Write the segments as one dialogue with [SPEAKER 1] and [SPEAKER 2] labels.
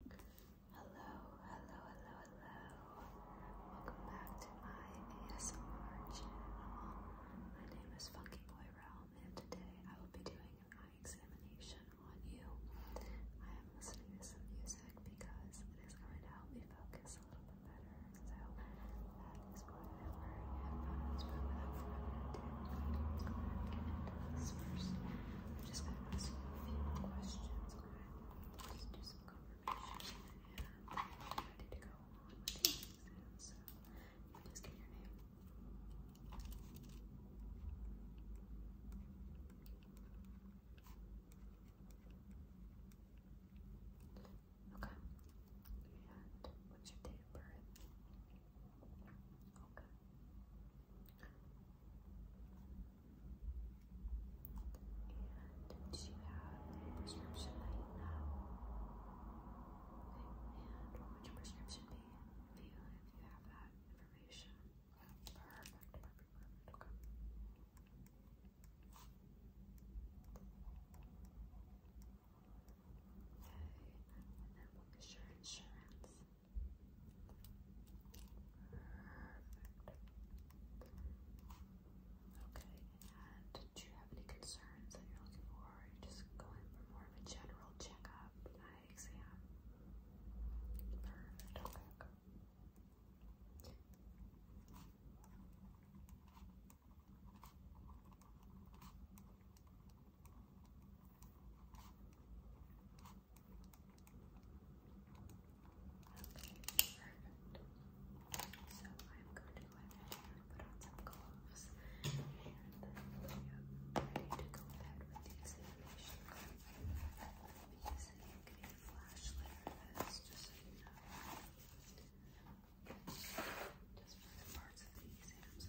[SPEAKER 1] Hello, hello, hello, hello. Welcome back to my ASMR channel. My name is Funky Boy Realm, and today I will be doing an eye examination on you. I am listening to some music because it is going to help me focus a little bit better. So that is whatever and not as I'm just going to ask you a few more questions, okay? Just do some confirmation and i ready to go on So, please give your name. Okay. And what's your date of birth? Okay. Did you have a prescription that you and what would your prescription be for if you have that information? Perfect, perfect, perfect. Okay. Okay, and then what is your insurance? and do you have any concerns that you're looking for? just going for more of a general checkup, eye exam? Perfect, so I'm going to go ahead and put on some gloves and I'm ready to go ahead with the examination. I'm using a flash just so you know. Just for the parts of the exams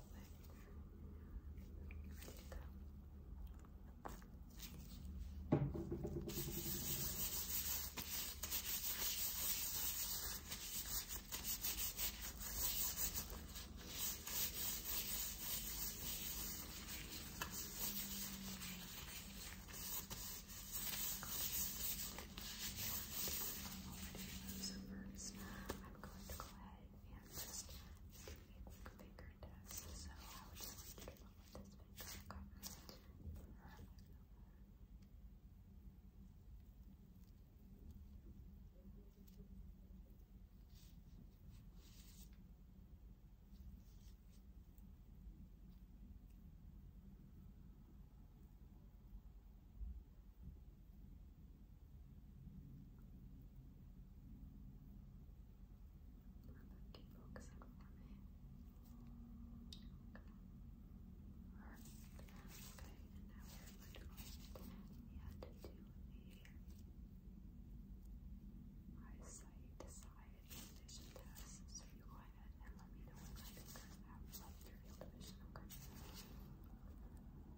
[SPEAKER 1] Ready to So first, I'm going to go ahead and just doing finger tests. So I would just read it this finger. Keep focusing for me. Okay. and now we're going to add to eyesight side vision test. So you go ahead and let me know when my fingers have left your field of vision. Okay.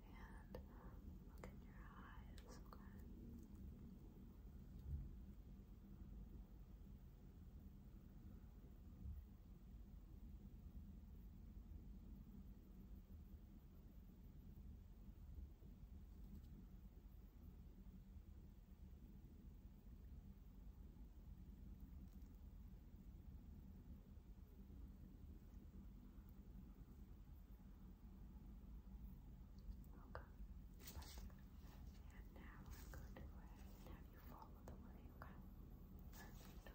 [SPEAKER 1] and look in your eyes, and now I'm going to have you follow the way, Okay.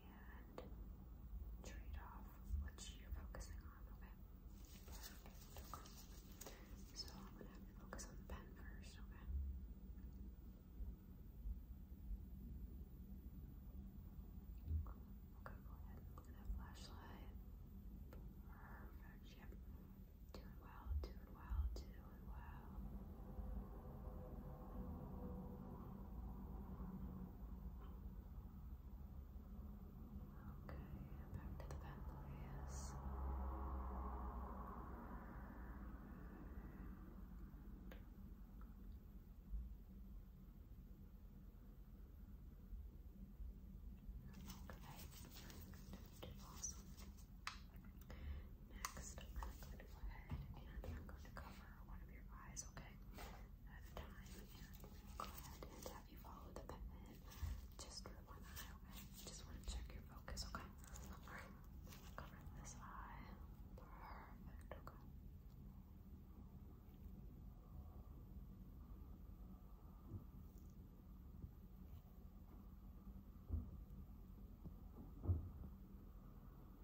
[SPEAKER 1] and trade off what you're focusing on, okay? So I'm gonna have you focus on pen first, okay? Okay, go ahead look at that flashlight. Perfect, yep. Doing well, doing well, doing well back to the back Okay, awesome. Next, I'm going to go ahead and I'm going to cover over one of your eyes, okay? At a time, go ahead and have you follow the pen just through one eye, okay? Just want to check your focus, okay? Alright, cover this eye. Perfect, Okay,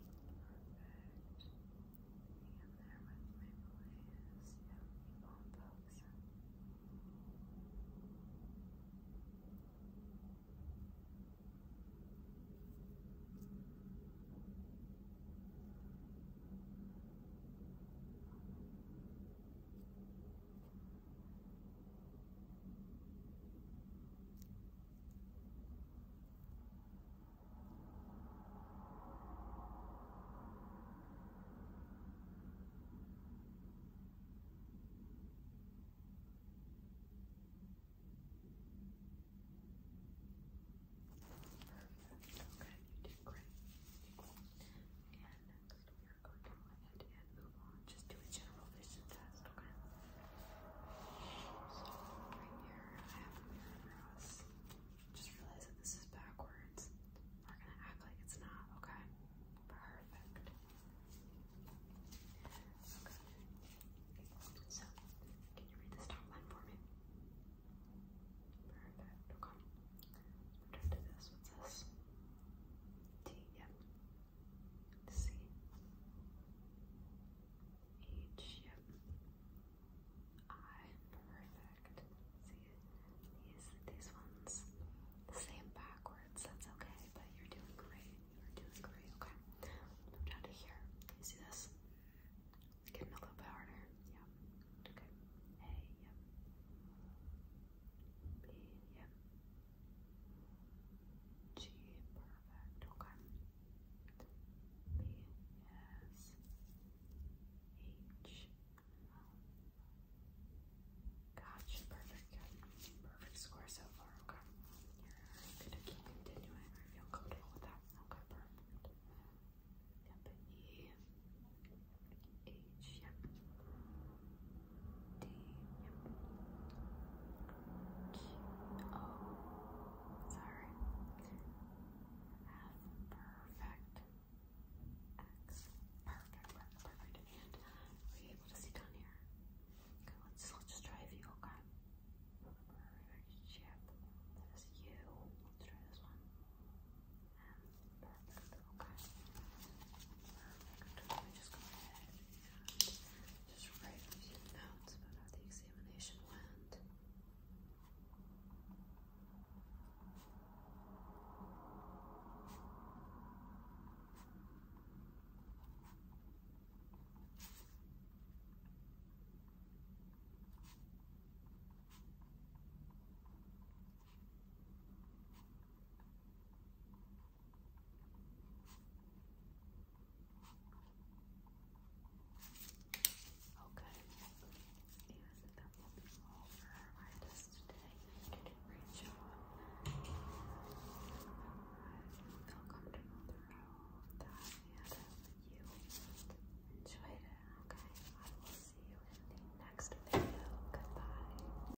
[SPEAKER 1] Perfect. Hang there with me, please. Yeah, keep on focusing. Perfect. Perfect. Okay, you did great. You did great. And next we are going to go ahead and move just do a general vision test, okay? So, right here, I have a mirror for us. Just realize that this is backwards. We're gonna act like it's not, okay? Perfect. Okay. So, can you read this top line for me? Perfect. Okay. Return to this. What's this? T. Yep. Let's see. perfect. See, these, these ones, the same backwards, that's okay, but you're doing great. You're doing great, okay. Move down to here. see this? Let's a little bit harder. Yep. Okay. A, yep. B, yep. G, perfect, okay. B, yes. H, gotcha, perfect, good. Perfect score so far, okay. You're gonna keep continuing, I feel comfortable with that, okay, perfect. Yep, E, H, yep sorry, half perfect, X, perfect, perfect, and were you able to see down here? Okay, let's, let's just try if view, okay? Perfect, that is you, let's try this one, perfect, okay, just write a few notes about how the examination went. Okay. Yes, that will be all for our artist today. Great job. I feel comfortable throughout that you enjoyed it. Okay. I will see you in the next video. Goodbye.